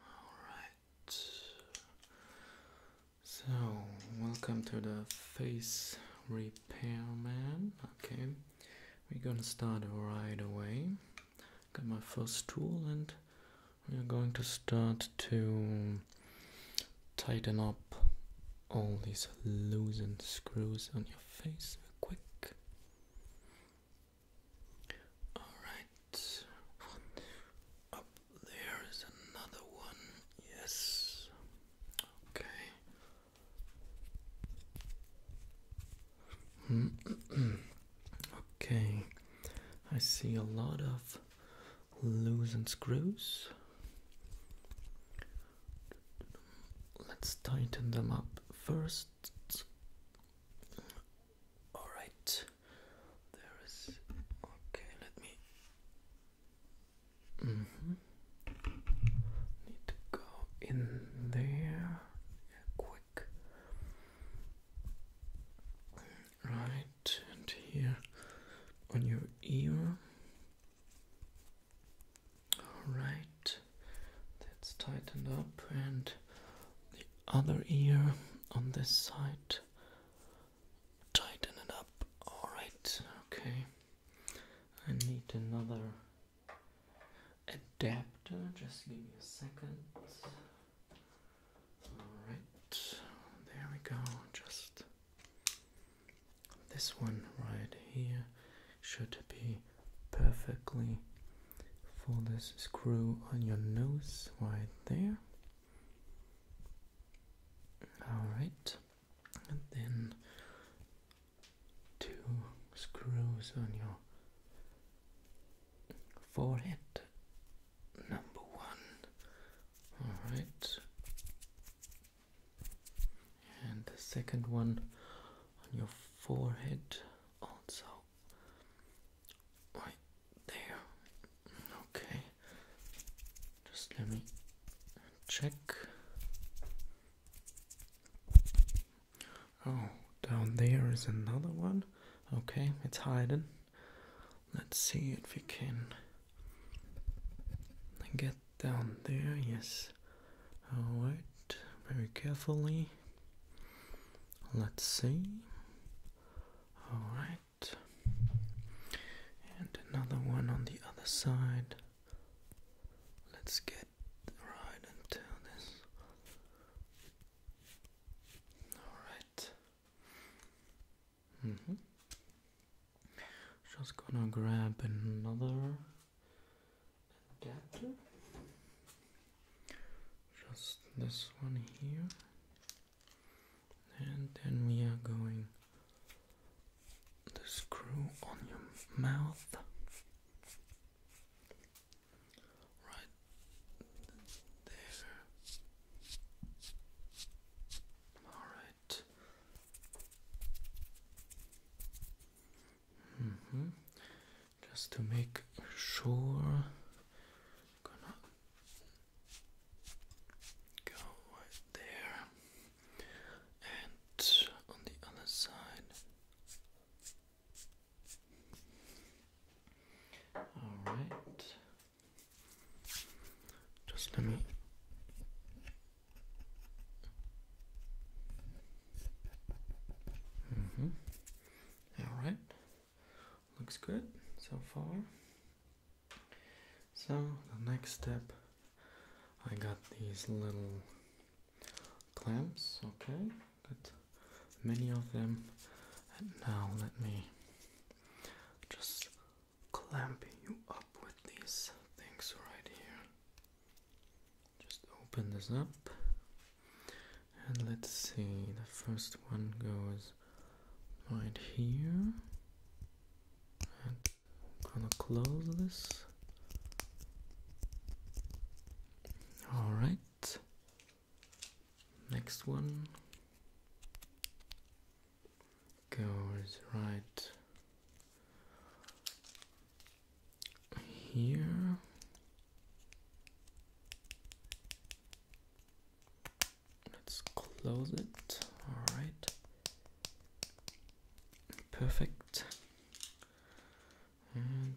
Alright. So, welcome to the face repair man. Okay, we're gonna start right away. Got my first tool, and we're going to start to tighten up all these loosened screws on your face real quick. Alright, up there is another one, yes, okay. okay, I see a lot of loose and screws. Let's tighten them up first. All right, there is. Okay, let me. Mm -hmm. Need to go in there yeah, quick. Right, and here on your ear. All right, that's tightened up, and the other ear on this side. Tighten it up. Alright, okay. I need another adapter. Just give me a second. Alright, there we go. Just this one right here should be perfectly for this screw on your nose right there. Alright, and then two screws on your forehead, number one. Alright, and the second one on your forehead also right there. Okay, just let me check. Oh, down there is another one. Okay, it's hidden. Let's see if we can get down there. Yes, all right, very carefully. Let's see. All right. And another one on the other side. Let's get right into this. All right. Mm-hmm. Just gonna grab another adapter just this one here and then we are going to screw on your mouth right there all right -hmm just to make sure. gonna go right there, and on the other side. All right, just let me. Mm -hmm. All right looks good so far so the next step I got these little clamps okay got many of them and now let me just clamp you up with these things right here just open this up and let's see, the first one goes right here. I'm gonna close this. Alright, next one goes right here Let's close it. All right. Perfect. And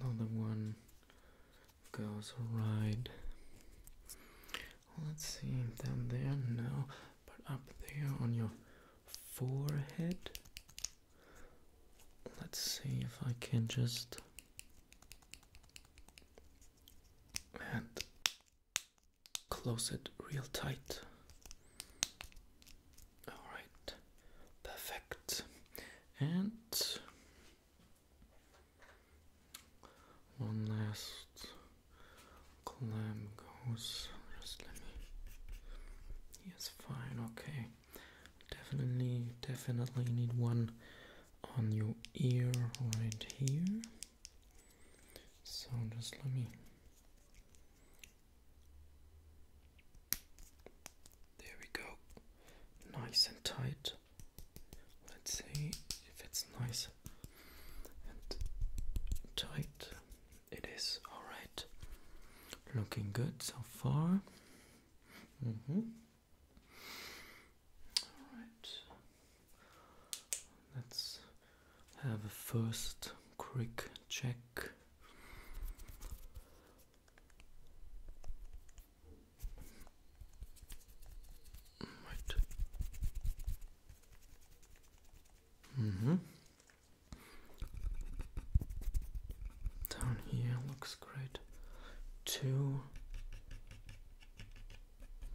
another one goes right. Let's see, down there, no, but up there on your forehead. Let's see if I can just and close it real tight. All right, perfect. And one last clam goes. Just let me. Yes, fine. Okay definitely definitely need one on your ear right here so just let me there we go nice and tight let's see if it's nice and tight it is all right. Looking good so far. Mm-hmm. All right. Let's have a first quick check. Right. Mm -hmm. Down here looks great too.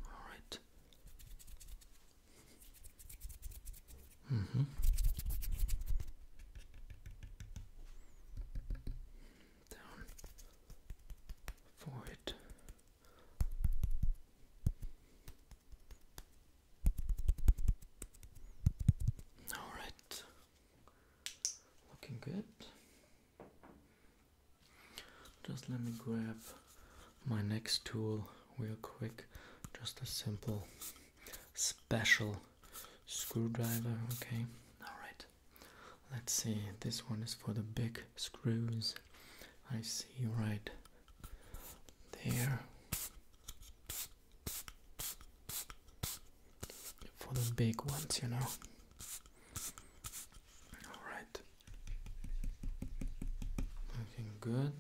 All right. Mm-hmm. Down for all right, looking good. Just let me grab my next tool real quick. Just a simple special screwdriver. Okay, all right. Let's see. This one is for the big screws. I see right there for the big ones, you know. All right, looking good.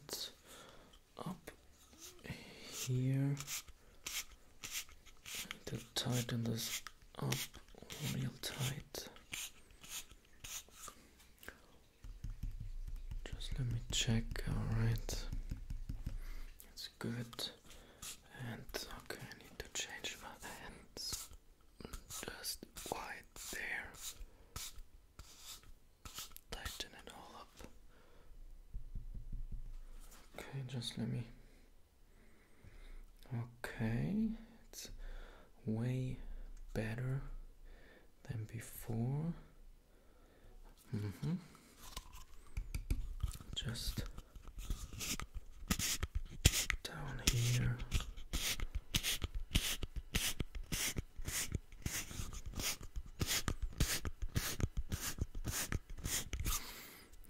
Up here, to tighten this up real tight. Just let me check. All right. It's good. And okay, I need to change my hands. Just right there. Tighten it all up. Okay, just let me. Okay, it's way better than before. Mm -hmm. Just down here.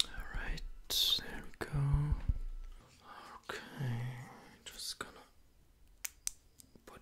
All right, there we go. Okay, just gonna put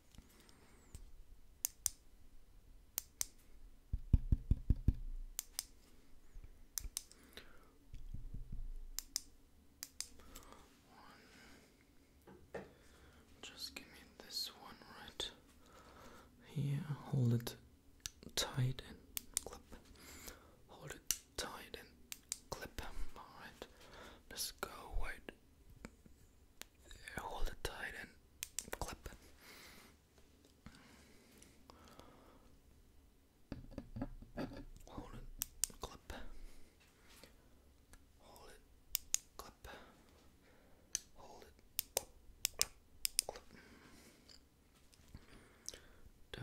Just give me this one right here. Hold it tight and clip. Hold it tight and clip. Alright. Let's go wait hold it tight and clip. Hold it, clip. Hold it, clip. Hold it, clip,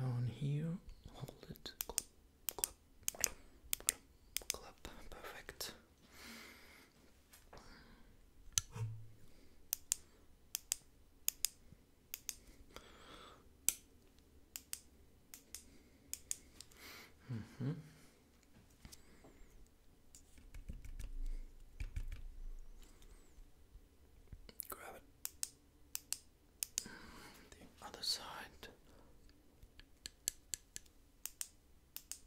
Down here, hold it, clip, clip, clip. Perfect. Mm -hmm. Grab it. The other side.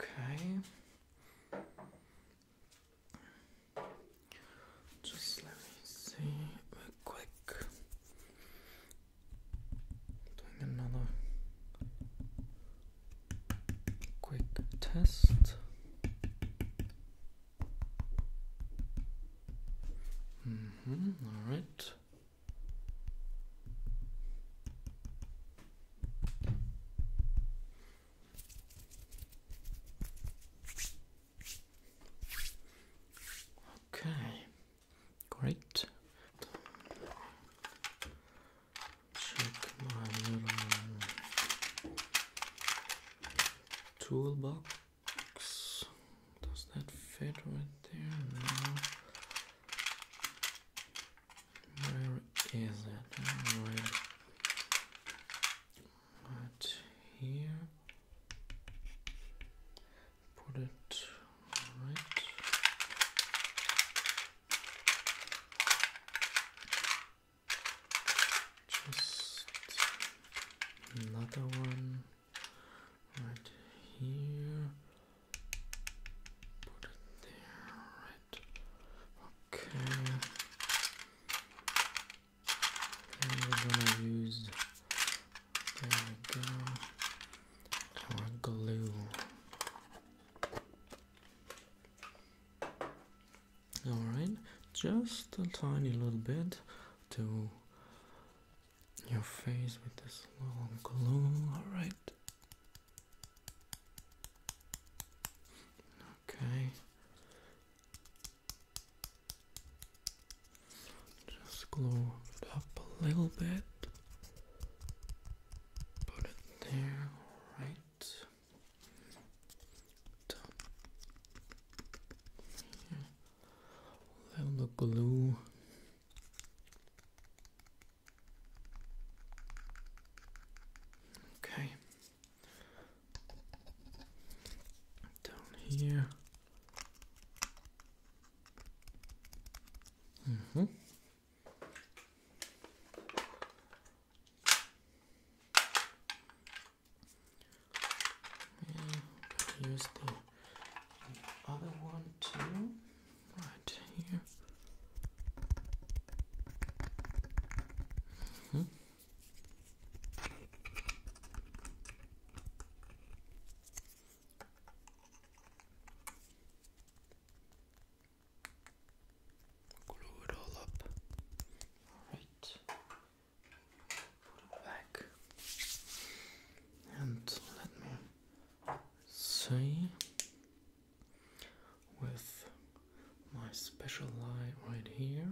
Okay. Just let me see real quick. Doing another quick test. Mm-hmm, all right. Okay, great check my little toolbox. Does that fit right there? No. Where is it? Right, here. Put it right just another one right here. Put it there, right? Okay. Then we're gonna use. There we go. Our glue. Alright, just a tiny little bit to your face with this little glue. Alright. Okay. Just glue it up a little bit. Put it there, alright little glue okay down here mm -hmm. And use the other one too. Right here. Mm-hmm. Glue it all up. Alright. Put it back. And let me see with my special light right here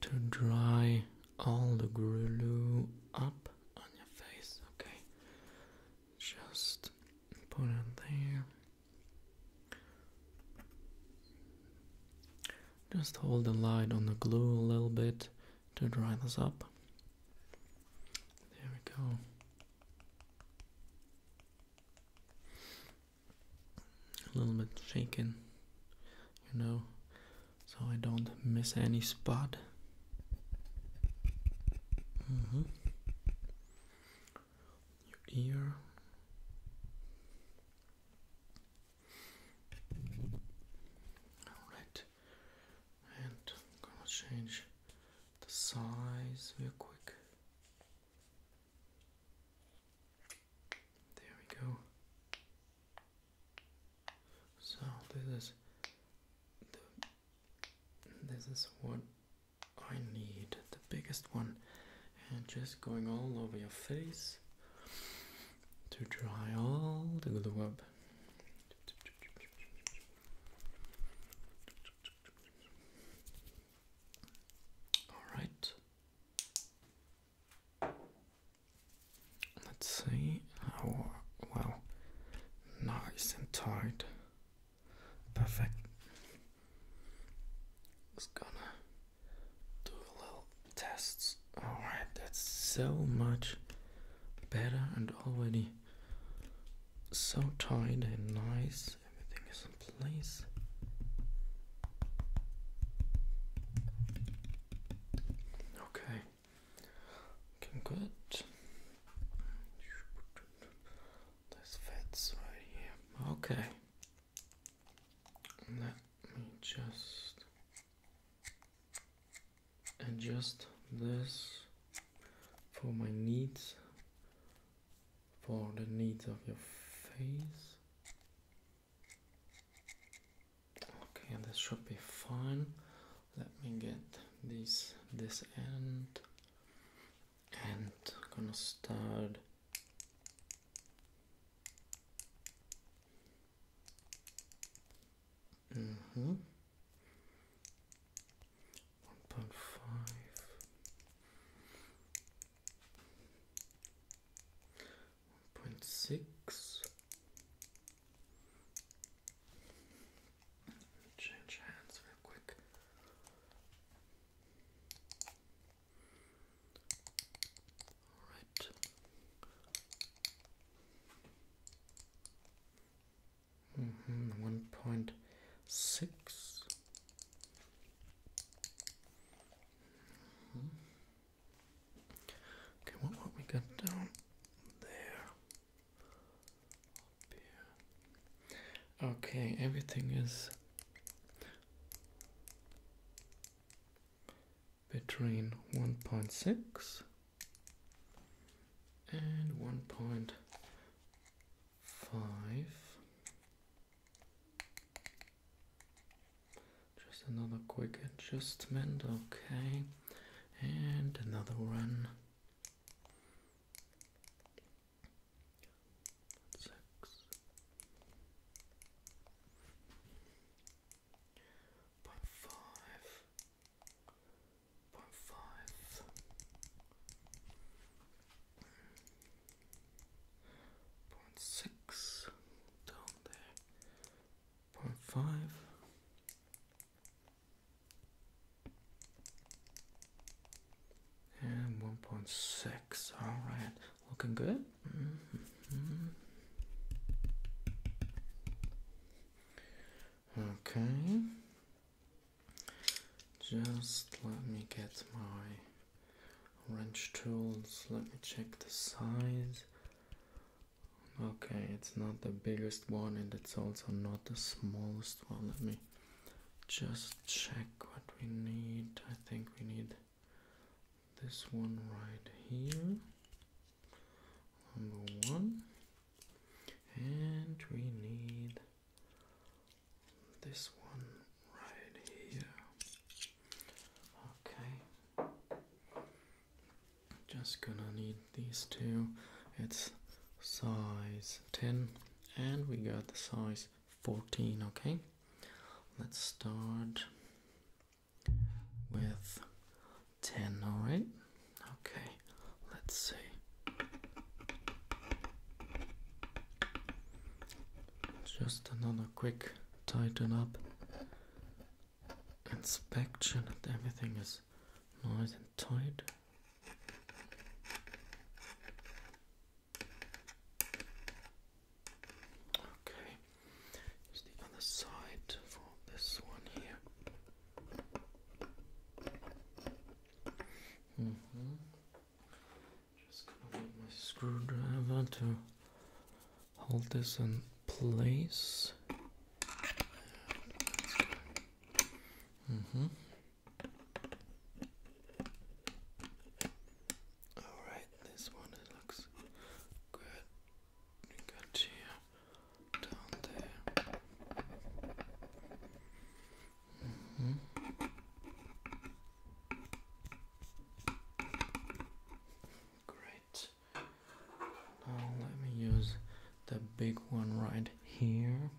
to dry all the glue up on your face, okay? Just put it there. Just hold the light on the glue a little bit to dry this up. There we go. A little bit shaken, you know, so I don't miss any spot. Mm -hmm your ear. Alright, and I'm gonna change the size real quick. There we go. So, this is this is what I need the biggest one and just going all over your face to dry all the glue up all right let's see how well nice and tight Perfect. Just gonna do a little tests. Alright, that's so much better and already so tight and nice. Everything is in place. Okay. good. This fits right here. Okay. Let me just adjust this for my needs, for the needs of your face. Okay, this should be fine. Let me get this this end and I'm gonna start mm -hmm. one point five one point six Change hands real quick. All right. Mm-hmm, one point six. Mm-hmm. Okay, what what we got down there? Okay, everything is between 1.6 and 1.5 just another quick adjustment okay and another one six point five point five point six down there point five and 1.6. Alright, looking good. Mm-hmm. Okay. Just let me get my wrench tools. Let me check the size. Okay, it's not the biggest one and it's also not the smallest one. Let me just check what we need. I think we need this one right here, number one, and we need this one right here. Okay, just gonna need these two it's size 10 and we got the size 14 okay let's start with 10 all right okay let's see just another quick tighten up inspection that everything is nice and tight Okay, here's the other side for this one here. Mm-hmm. Just gonna get my screwdriver to hold this in place. Mm-hmm. Alright, this one looks good. You got here down there. Mm-hmm. Great. Now let me use the big one right here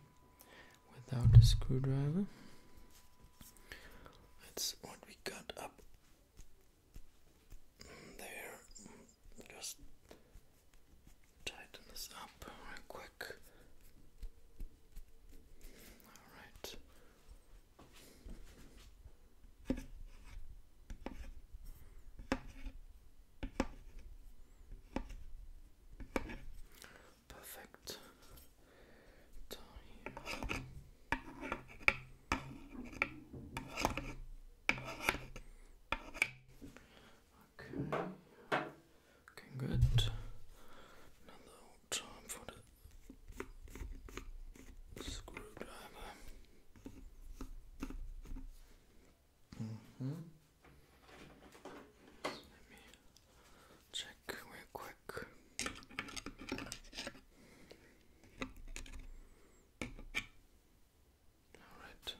without a screwdriver. That's what we got up there. Just tighten this up quick. Alright. Perfect. Okay. Okay, good. Another time for the screwdriver. Mm-hmm. let me check real quick. All right.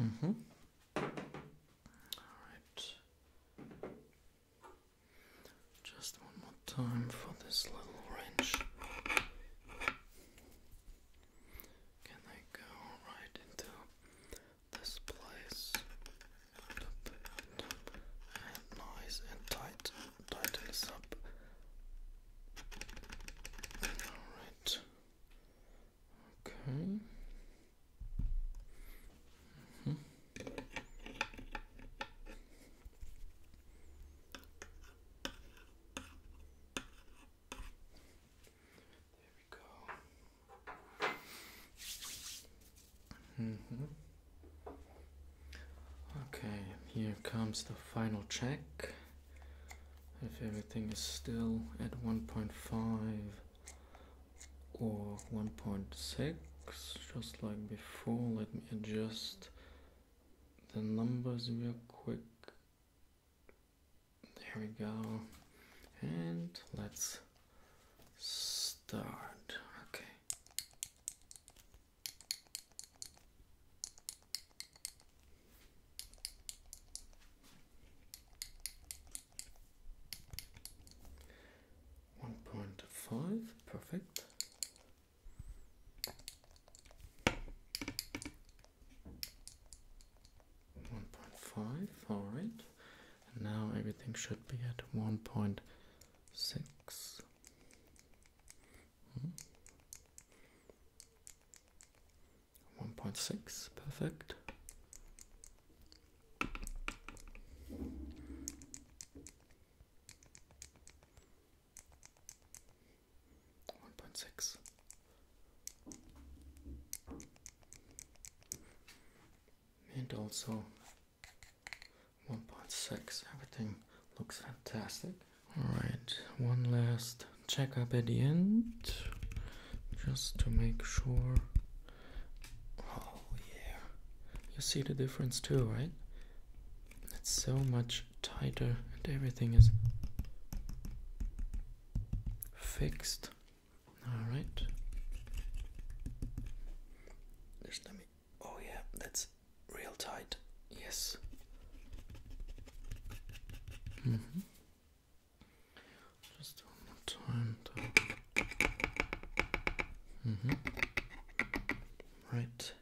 Mm-hmm. All right. Just one more time for this little wrench. Can I go right into this place? And nice and tight. Tighten this up. Alright. Okay. Mm-hmm. There we go. Okay, here comes the final check. If everything is still at 1.5 or 1.6, just like before, let me adjust the numbers real quick. There we go. And let's start. Okay. One point five, perfect. 1.5 all right and now everything should be at 1.6 1.6 hmm. perfect one point six. And also 1.6, everything looks fantastic. Alright, one last check up at the end, just to make sure. Oh yeah, you see the difference too, right? It's so much tighter and everything is fixed. Alright. Just let me oh yeah, that's real tight. Yes. -hmm. Just one more time -hmm. Right.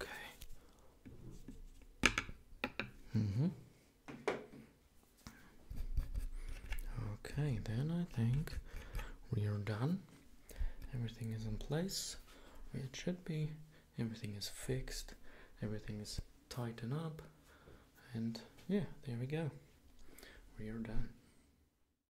Okay. Mm-hmm. Okay, then I think we are done. Everything is in place. It should be. Everything is fixed. Everything is tightened up. And yeah, there we go. We are done.